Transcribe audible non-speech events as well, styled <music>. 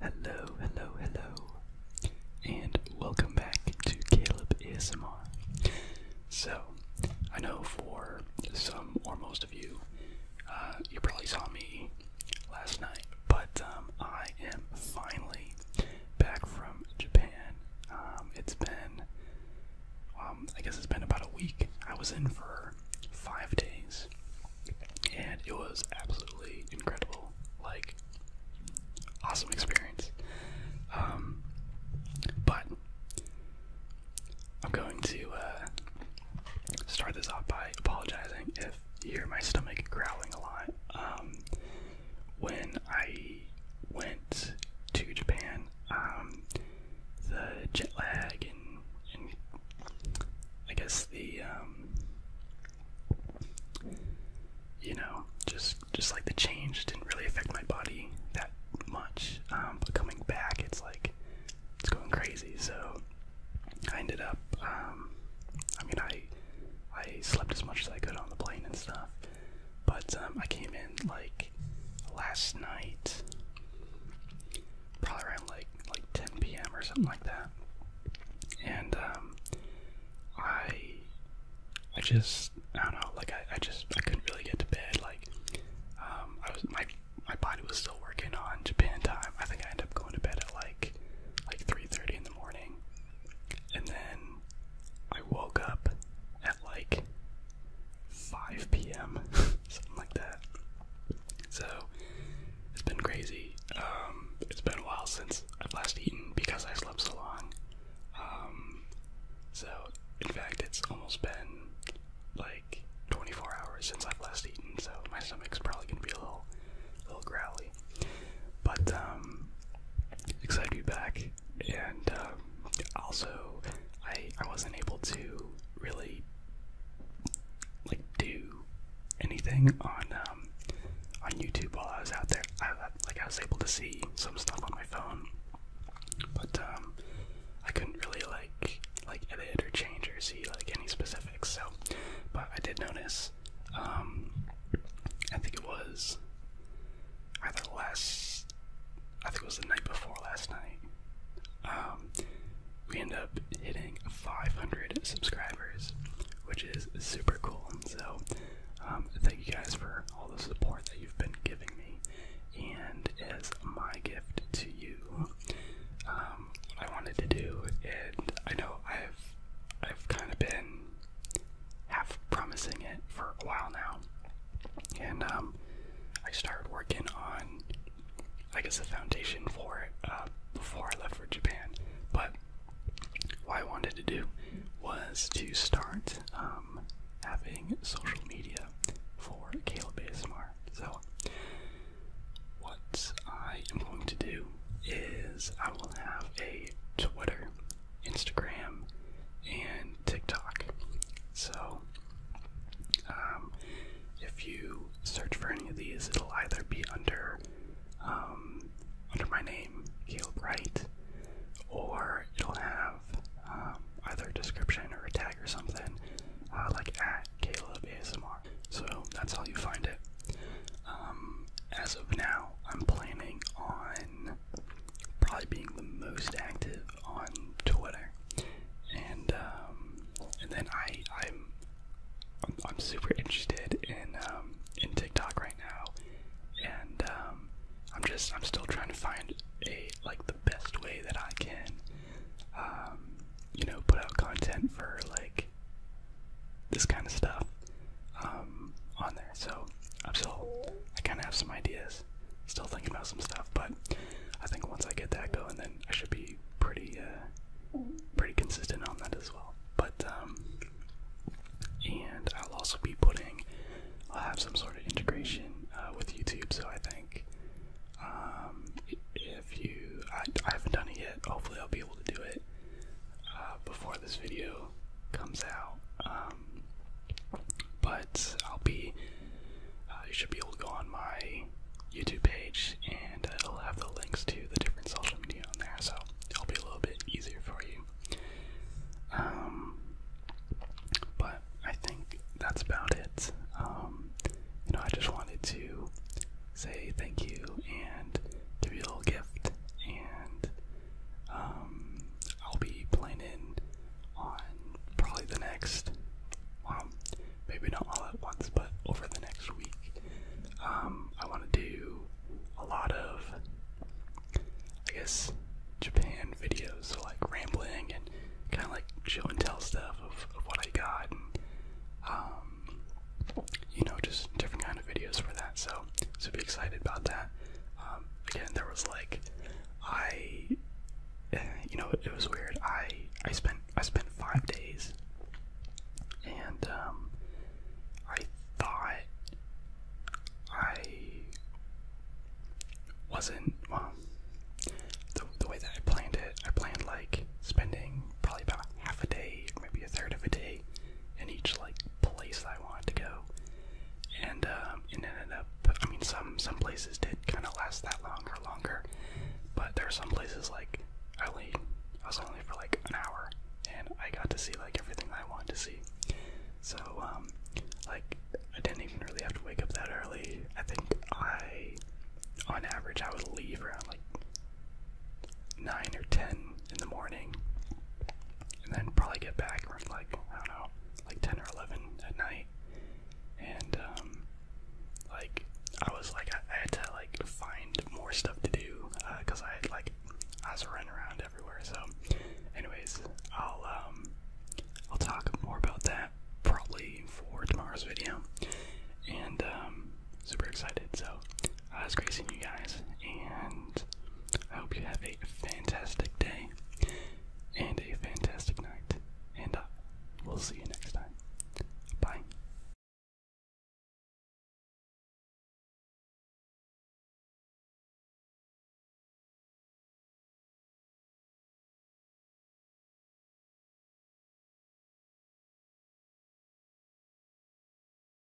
Hello, hello, hello, and welcome back to Caleb ASMR. So, I know for some or most of you, uh, you probably saw me last night but um, I am finally back from Japan. Um, it's been, um, I guess it's been about a week. I was in for five days, and it was absolutely incredible. Like, awesome experience. but I'm going to uh, start this off by apologizing if you are my stomach growling a lot when I went to Japan, um, the jet lag and, I guess the um, you know just just like the change didn't really affect my body that much, um, but coming back, it's like it's going crazy. So I ended up, I mean, I I slept as much as I could on the plane and stuff. But um, I came in like last night, probably around like like 10 p.m. or something like that. And um, I, I just I don't know. Like I, I just I couldn't really get to bed. Like um, I was my my body was still working on Japan time. I think I ended up going to bed at like like 3:30 in the morning. And then I woke up at like 5 p.m., <laughs> something like that. So it's been crazy. Um, it's been a while since I've last eaten because I slept so long. Um, so, in fact, it's almost been like 24 hours since I've last eaten, so my stomach's probably gonna be a little, a little growly. But um, excited to be back. And uh, also, I I wasn't able to really like do anything on um, on YouTube while I was out there. I like I was able to see some stuff on my phone, but um, I couldn't really like like edit or change or see like any specifics. So, but I did notice um, I think it was either last, I think it was the night before last night. Um, we end up hitting 500 subscribers, which is super cool. So, um, thank you guys for all the support that you've been giving me. And as my gift to you, what I wanted to do, and I know I've I've kind of been half promising it for a while now, and um, I started working on, I guess, a foundation for it uh, before I left for Japan. But what I wanted to do was to start um, having social media for Caleb ASMR. So what I am going to do is I will have a Twitter, Instagram, and TikTok. So, um, if you search for any of these, it'll either be under um, under my name, Caleb Wright, or it'll have um, either a description or a tag or something, uh, like at Caleb ASMR. So that's how you find it. Um, as of now, I'm planning on probably being the most active on Twitter, and um, and then I I'm I'm, super interested in um, in TikTok right now, and I'm just I'm still trying to find a like the best way that I can you know put out content for like this kind of stuff um, on there. So I'm still, I kind of have some ideas, still thinking about some stuff, but I think once I get that going, then I should be pretty, uh, pretty consistent on that as well. But um, and I'll also be putting, I'll have some sort of integration uh, with YouTube. So I think um, if you, I, I haven't done it yet. Hopefully, I'll be able to do it uh, before this video comes out. Um, but I'll be, uh, you should be able to go on my YouTube page and uh, it'll have the links to the different social media on there, so it'll be a little bit easier for you. Um, but I think that's about it. Um, you know, I just wanted to say thank you and give you a little gift and um, I'll be planning on probably the next, well, maybe not all at once, but over the next week. Um, I want to do a lot of, I guess, Japan videos, so like rambling and kind of like show and tell stuff of, what I got. Um, you know, just different kind of videos for that. So, so be excited about that. Um, again, there was like, I, you know, it, it was weird. I I spent I spent five days, and um, I thought I wasn't well. The the way that I planned it, I planned like spending probably about half a day, maybe a third of a day in each like place I wanted to go, um, and it ended up. I mean, some some places did kind of last that long or longer, but there are some places like I only I was only for like an hour, and I got to see like everything I wanted to see. So um, like I didn't even really have to wake up that early. I think I, on average, I would leave around like nine or ten in the morning, and then probably get back around like I don't know, like ten or eleven at night. And um, like I was like I, had to like find more stuff to do because uh, I had like I was running around everywhere. So, anyways, I'll um I'll talk more about that probably for tomorrow's video, and um, super excited. So I was gracing you guys, and I hope you have a fantastic day and a fantastic night. And uh, we'll see you next time. Bye.